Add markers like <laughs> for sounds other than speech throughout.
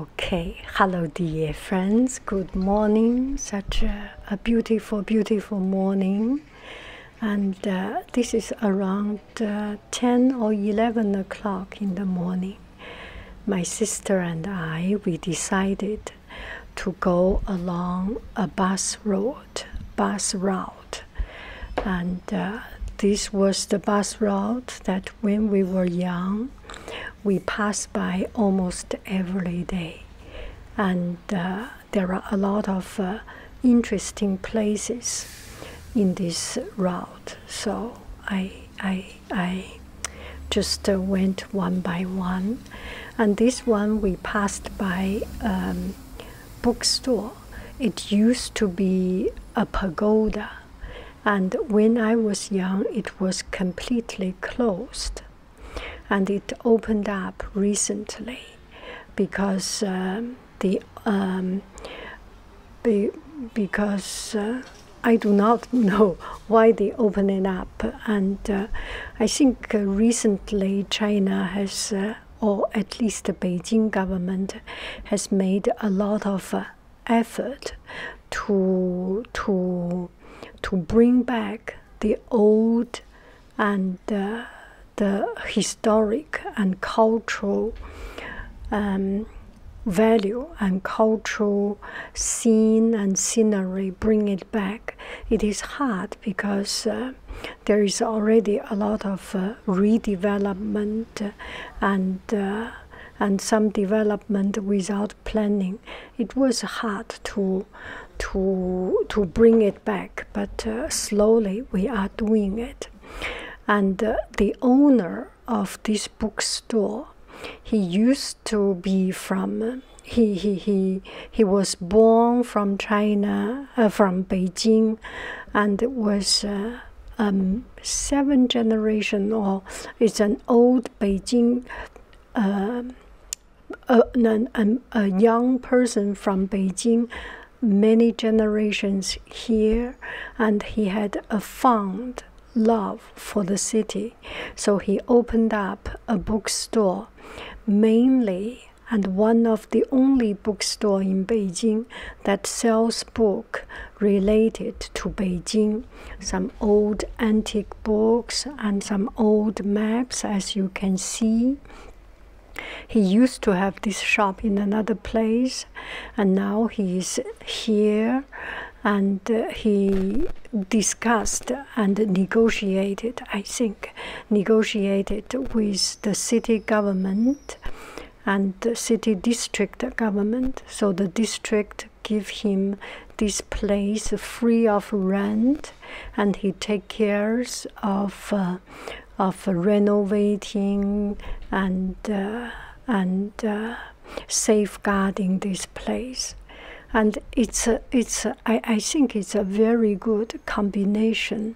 Okay, hello dear friends, good morning, such a, beautiful, beautiful morning. And uh, this is around uh, 10 or 11 o'clock in the morning. My sister and I, we decided to go along a bus road, bus route. And uh, this was the bus route that when we were young, we passed by almost every day, and uh, there are a lot of uh, interesting places in this route. So I, I, I just uh, went one by one, and this one we passed by um, bookstore. It used to be a pagoda and when I was young, it was completely closed, and it opened up recently because um, the um, be, because uh, I do not <laughs> know why they open it up, and uh, I think uh, recently China has. or at least the Beijing government has made a lot of effort to to to bring back the old and uh, the historic and cultural um, value and cultural scene and scenery bring it back it is hard because uh, there is already a lot of uh, redevelopment and uh, and some development without planning. It was hard to to to bring it back, but uh, slowly we are doing it. And uh, the owner of this bookstore, he used to be from. he, he, he, he was born from China, from Beijing, and was um, seven generation or it's an old Beijing, uh, a, a, um, a young person from Beijing, many generations here, and he had a fond love for the city. So he opened up a bookstore mainly and one of the only bookstore in Beijing that sells books related to Beijing, some old antique books and some old maps as you can see. He used to have this shop in another place and now he is here and uh, he discussed and negotiated, I think, negotiated with the city government and city district government. So the district give him this place free of rent, and he take cares of uh, of renovating and uh, and uh, safeguarding this place. And it's a, it's a, I, I think it's a very good combination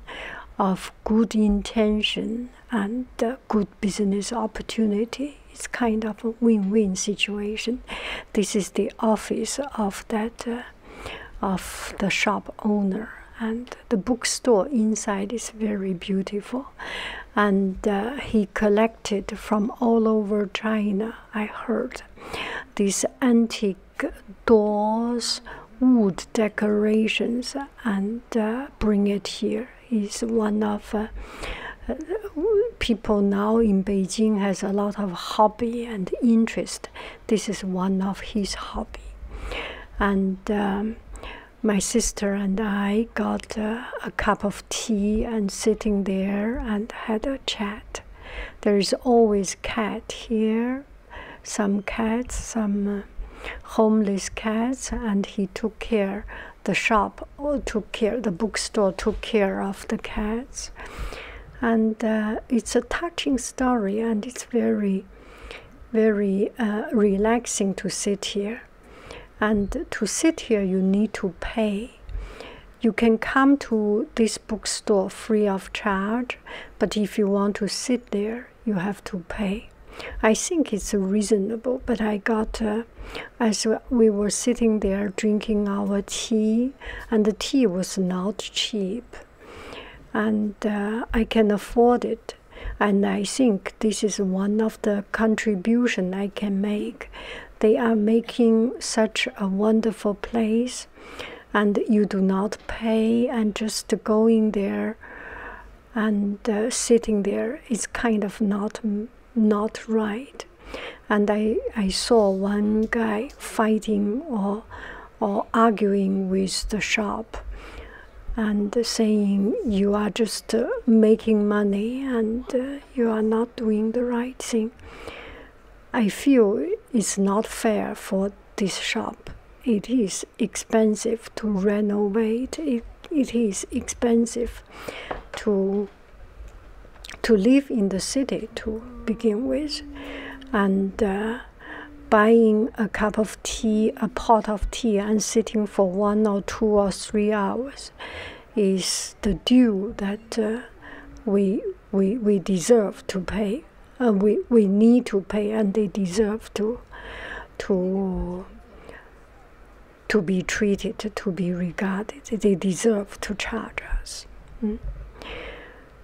of good intention and uh, good business opportunity. It's kind of a win-win situation. This is the office of that uh, of the shop owner, and the bookstore inside is very beautiful. And uh, he collected from all over China. I heard these antique doors, wood decorations, and uh, bring it here. He's one of uh, people now in Beijing has a lot of hobby and interest. This is one of his hobby. And um, my sister and I got uh, a cup of tea and sitting there and had a chat. There is always cat here some cats, some uh, homeless cats, and he took care. The shop uh, took care. The bookstore took care of the cats, and uh, it's a touching story, and it's very, very relaxing to sit here. And to sit here, you need to pay. You can come to this bookstore free of charge, but if you want to sit there, you have to pay. I think it's reasonable, but I got uh, as we were sitting there drinking our tea, and the tea was not cheap, and uh, I can afford it. And I think this is one of the contribution I can make. They are making such a wonderful place and you do not pay and just going there and uh, sitting there is kind of not not right and i i saw one guy fighting or or arguing with the shop and saying you are just uh, making money and uh, you are not doing the right thing i feel it's not fair for this shop. It is expensive to renovate. It, it is expensive to to live in the city to begin with, and uh, buying a cup of tea, a pot of tea, and sitting for one or two or three hours is the due that uh, we we we deserve to pay uh, we we need to pay and they deserve to to to be treated to be regarded they deserve to charge us mm.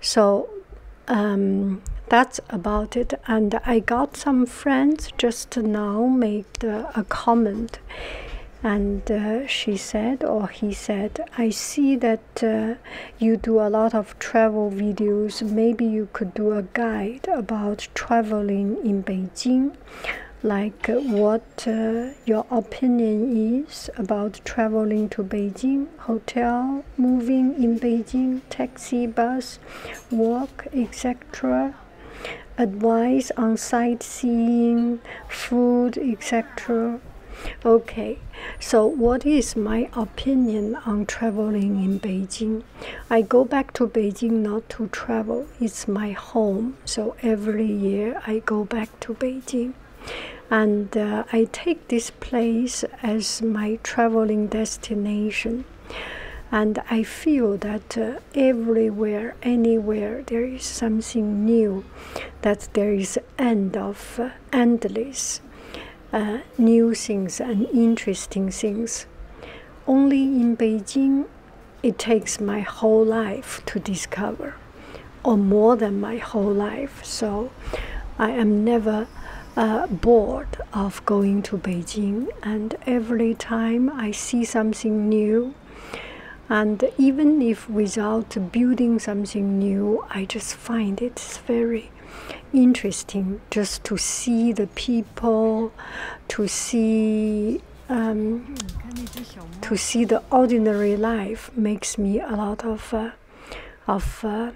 so um, that's about it and i got some friends just now made a comment and uh, she said or he said i see that that uh, you do a lot of travel videos. Maybe you could do a guide about traveling in Beijing, like uh, what uh, your opinion is about traveling to Beijing, hotel, moving in Beijing, taxi, bus, walk, etc. Advice on sightseeing, food, etc. Okay, so what is my opinion on traveling in Beijing? I go back to Beijing not to travel, it's my home. So every year I go back to Beijing. And uh, I take this place as my traveling destination. And I feel that uh, everywhere, anywhere, there is something new, that there is and of endless uh, uh, new things and interesting things. Only in Beijing, it takes my whole life to discover, or more than my whole life. So I am never uh, bored of going to Beijing, and every time I see something new. And even if without building something new, I just find it's very interesting just to see the people, to see um, to see the ordinary life makes me a lot of uh, of uh,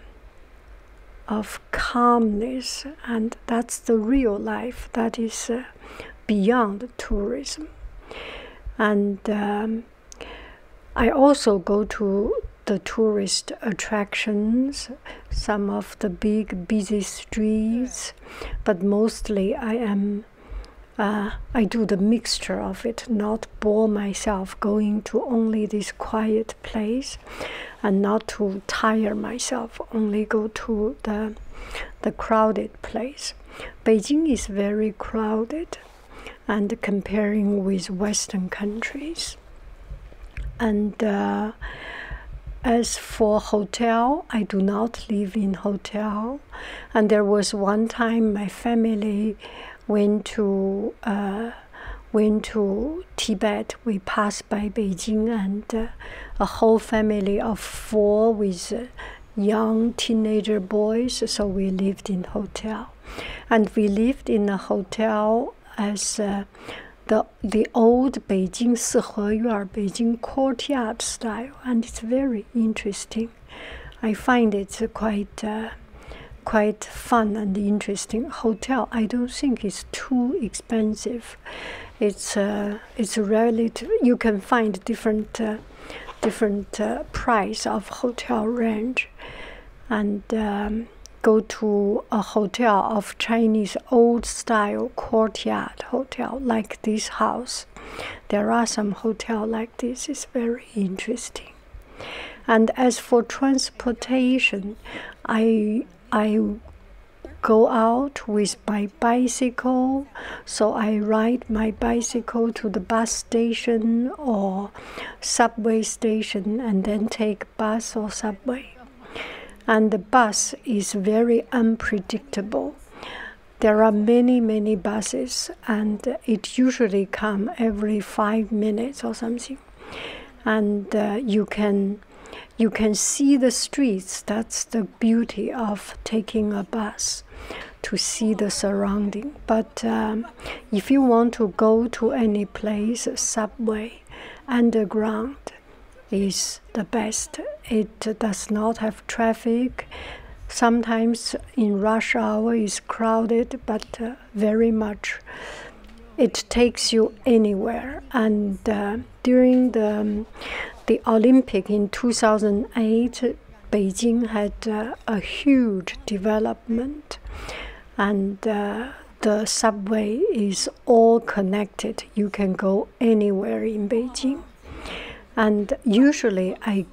of calmness, and that's the real life that is uh, beyond tourism. And um, I also go to the tourist attractions, some of the big busy streets, but mostly I am. Uh, I do the mixture of it, not bore myself going to only this quiet place, and not to tire myself. Only go to the the crowded place. Beijing is very crowded and comparing with Western countries. And uh, as for hotel, I do not live in hotel. And there was one time my family went to uh, went to Tibet. We passed by Beijing, and uh, a whole family of four with young teenager boys. So we lived in hotel and we lived in a hotel as uh, the the old Beijing Siheyuan, Beijing courtyard style, and it's very interesting. I find it's quite. Uh, quite fun and interesting hotel i don't think it's too expensive it's uh, it's relative you can find different uh, different price of hotel range and um, go to a hotel of Chinese old style courtyard hotel like this house. There are some hotel like this. It's very interesting. And as for transportation, I I go out with my bicycle, so I ride my bicycle to the bus station or subway station and then take bus or subway. And the bus is very unpredictable. There are many, many buses, and it usually come every five minutes or something. And uh, you can you can see the streets. That's the beauty of taking a bus to see the surrounding. But um, if you want to go to any place, subway, underground is the best. It does not have traffic. Sometimes in rush hour is crowded, but uh, very much. It takes you anywhere. And uh, during the um, the Olympic in 2008, Beijing had uh, a huge development, and uh, the subway is all connected. You can go anywhere in Beijing, and usually I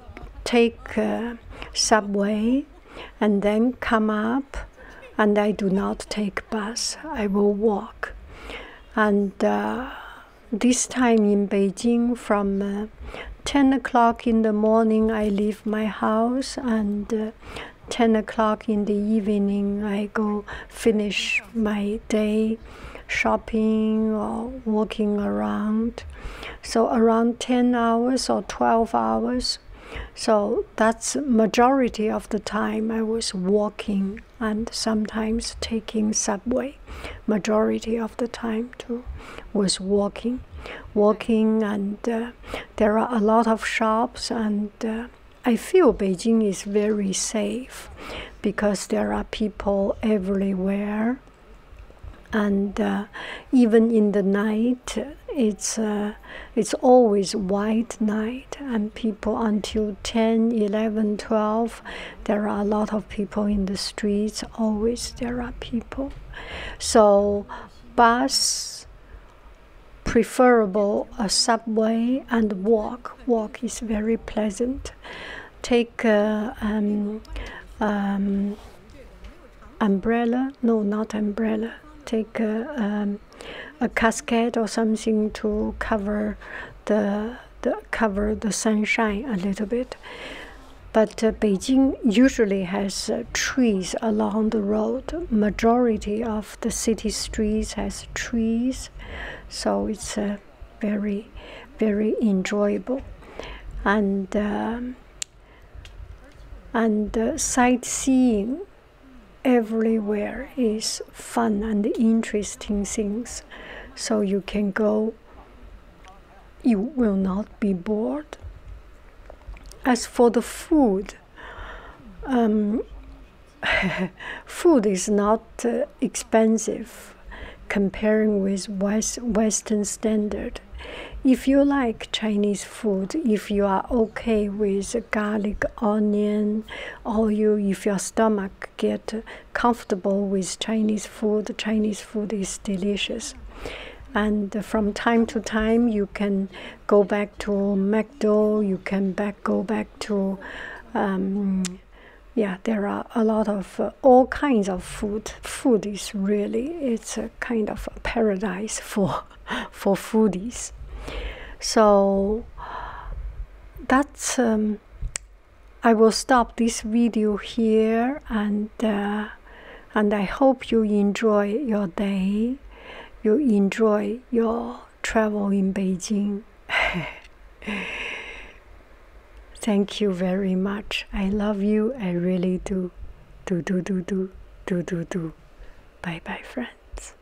take uh, subway and then come up, and I do not take bus. I will walk, and. this time in Beijing from 10 o'clock in the morning i leave my house and uh, 10 o'clock in the evening i go finish my day shopping or walking around so around 10 hours or 12 hours so that's majority of the time i was walking and sometimes taking subway majority of the time too was walking walking and uh, there are a lot of shops and uh, i feel beijing is very safe because there are people everywhere and uh, even in the night it's it's always white night and people until 10 11 12 there are a lot of people in the streets. Always there are people. So bus preferable a subway and walk. Walk is very pleasant. Take uh, um, um, umbrella. No, not umbrella. Take uh, um, a casket or something to cover the the, cover the sunshine a little bit. But uh, Beijing usually has uh, trees along the road. Majority of the city streets has trees, so it's uh, very, very enjoyable. And um, and sightseeing everywhere is fun and interesting things. So you can go you will not be bored. As for the food, um, <laughs> food is not uh, expensive comparing with West, Western standard. If you like Chinese food, if you are okay with garlic, onion, or you, if your stomach get comfortable with Chinese food. Chinese food is delicious. And from time to time, you can go back to McDo, you can back go back to, um, yeah, there are a lot of uh, all kinds of food. Food is really, it's a kind of paradise <laughs> for, for foodies. So that's um, I will stop this video here and uh, and I hope you enjoy your day. You enjoy your travel in Beijing. <laughs> Thank you very much. I love you. I really do. Do do do do do do do. Bye bye friends.